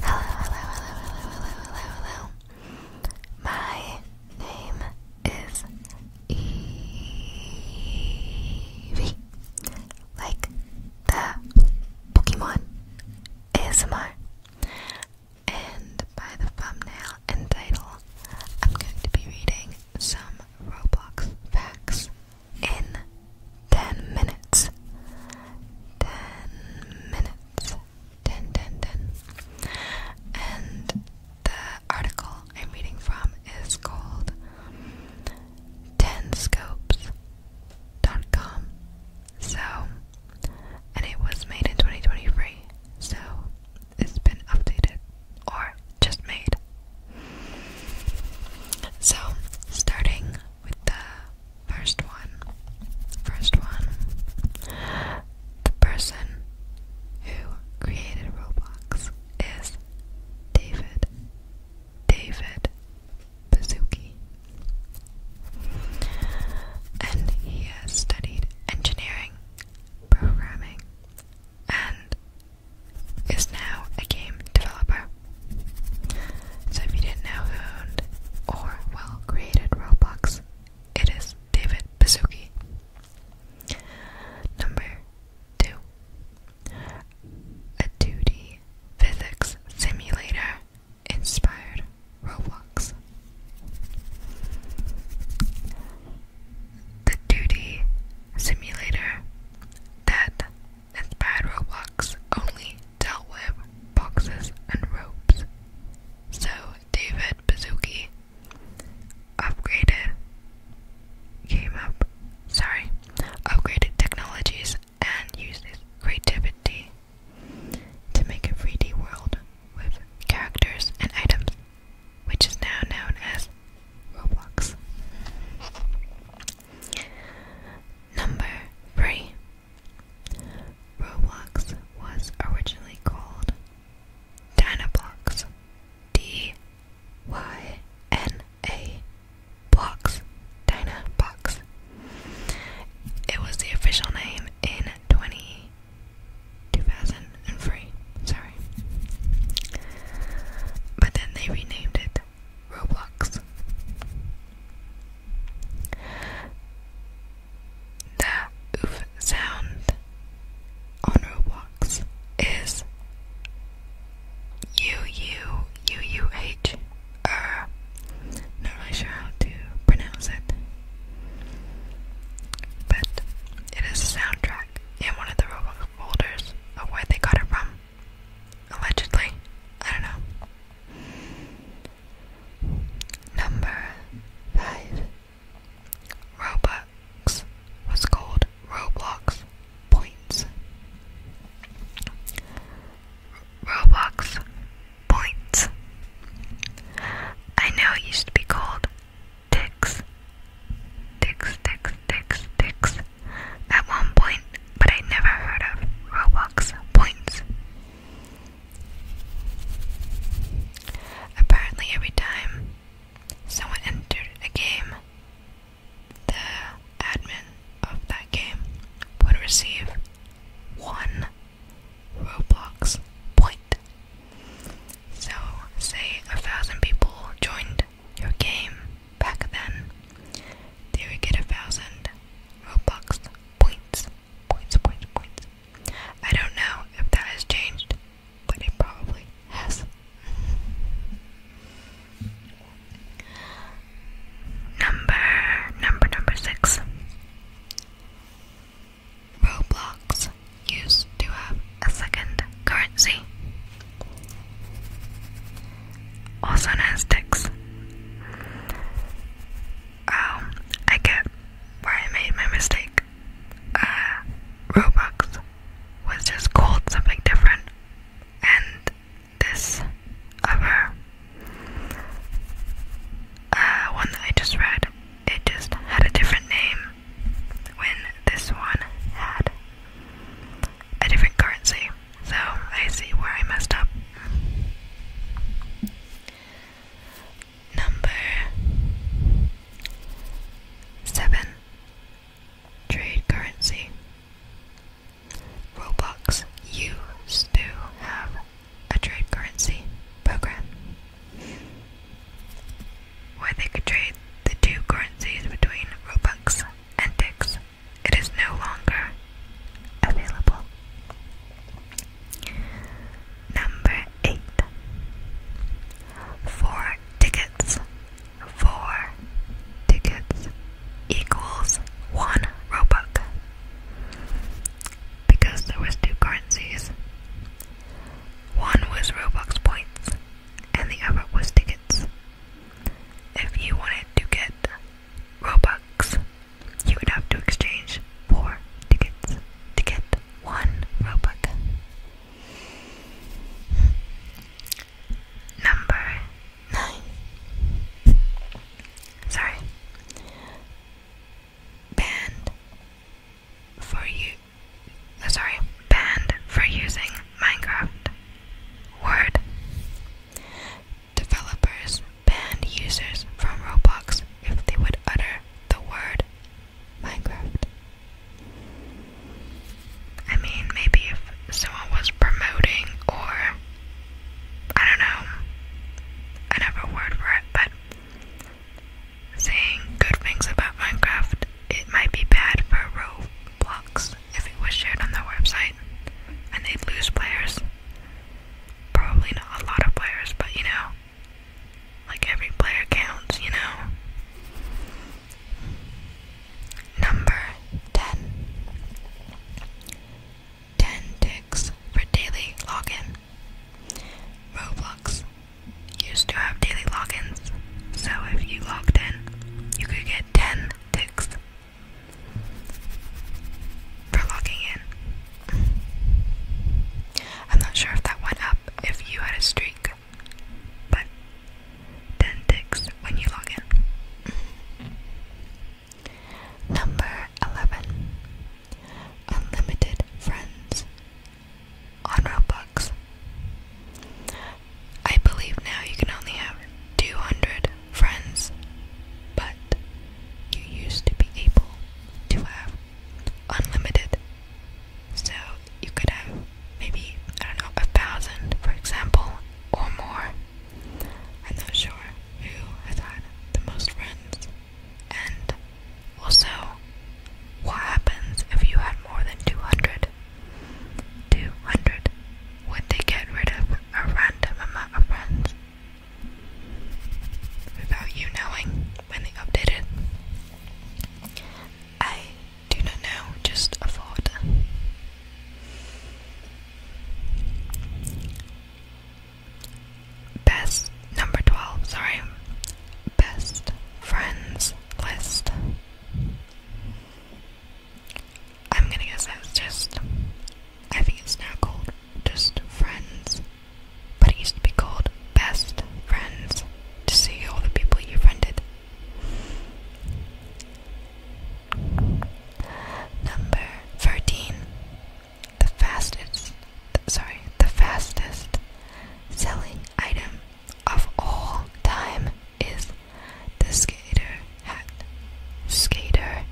Hello, hello, hello, hello, hello, hello, hello. My name is Evie. Like the Pokemon ASMR. And by the thumbnail and title, I'm going to be reading some Roblox facts in 10 minutes. 10 minutes. 10, And the article I'm reading from is called 10scopes.com. So, and it was made in 2023, so it's been updated or just made so, starting with the first one, first one, the person who created Roblox is David David Bazuki, and he has studied engineering, programming, and is now a game developer. So if you didn't know who or well created Roblox, it is David Pizzuki. Number two, a 2D physics simulator inspired Roblox. The 2 simulator that Inspired Roblox only dealt with boxes and ropes. So David Bazuki upgraded came up sorry upgraded technologies and used his creativity to make a 3D world with characters and items, which is now known as Roblox. Number 3 Roblox was originally called Dynablox. D Y N A Blocks. Dynabox. It was the official name in 2003. Sorry. But then they renamed it Roblox. The oof sound on Roblox is U U U U H. not really sure how to pronounce it, but it is a soundtrack in one of the Roblox folders of where they got it from. Allegedly. I don't know. Number five. Robux was called Roblox Points. Roblox Points. I know it used to be called Ticks Ticks, ticks, ticks, ticks. At one point, but I never heard of Robux points. Apparently, every time someone entered a game, the admin of that game would receive one Roblox point. So, say a thousand people joined your game, back then, they we get a thousand Robux points. Points, points, points. I don't know if that has changed, but it probably has. Number, number, number six. Roblox used to have a second currency, also known as ticks. Oh, I get where I made my mistake. Uh, Robux was just called something different, and this other uh, one that I just read, it just had a different name when this one had a different currency. So I see where I messed up. Number seven trade currency. Roblox used to have a trade currency program where they could trade the two currencies between Robux and Dix. It is no longer available. Number 8. Four tickets. Four tickets equals one Robux. Because there was two currencies. One was Robux points and the other was tickets. If you wanted to get Robux, you would have to exchange four tickets to get one Robux. Number nine. Sorry. Band for you sorry, banned for using Minecraft. Word. Developers banned users from Roblox if they would utter the word Minecraft. I mean, maybe if someone was promoting or I don't know, another word for it, but saying good things about Minecraft it might be bad for Roblox if it was shared on their website and they'd lose players. Probably not a lot of players, but you know, like every player counts, you know. Number 10 ticks for daily login. Roblox used to have daily logins, so if you logged in, you could get 10 ticks for logging in. I'm not sure if that went up if you had a streak, but 10 ticks when you log in. Number 11 Unlimited friends on Roblox. I believe now you can only have 200 friends, but you used to be able to have unlimited. So you could have maybe, I don't know, a thousand, for example, or more. I'm not sure who has had the most friends. And also, what happens if you had more than 200? Two hundred. Would they get rid of a random amount of friends? Without you knowing when they updated? I do not know, just a thought. Best number 12, sorry best friends list. I'm gonna guess that's just, I think it's now called just friends, but it used to be called best friends to see all the people you friended. Number 13. The fastest, sorry, the fastest selling item of all time is the skater hat. Skater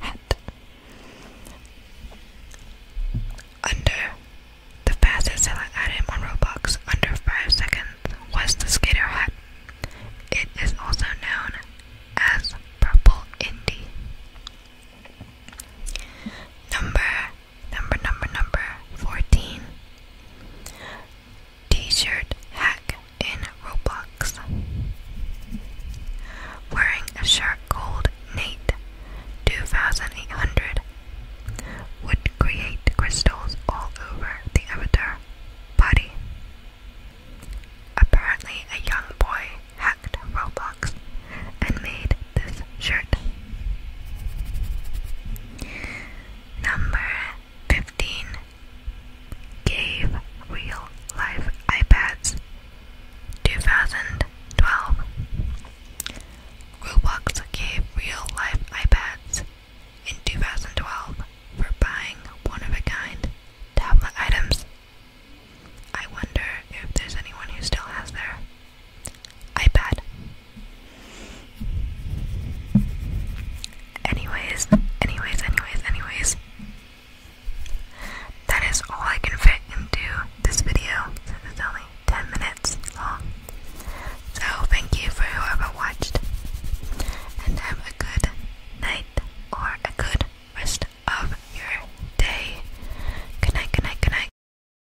hat. Under the fastest selling item on Roblox under 5 seconds was the skater hat. It is also known as Purple Indie. Number Number, number, number 14. T shirt hack in Roblox. Wearing a shirt gold Nate 2800 would create crystals all over the avatar body. Apparently, a young boy hacked Roblox and made this shirt. Number 15 Gave Real Life iPads 2012 Roblox gave real life iPads in 2012 for buying one of a kind tablet items. I wonder if there's anyone who still has their iPad. Anyways, anyways, anyways, anyways. That is all I can fit into this video it's only 10 minutes long. So, thank you for whoever watched. And have a good night or a good rest of your day. Good night, good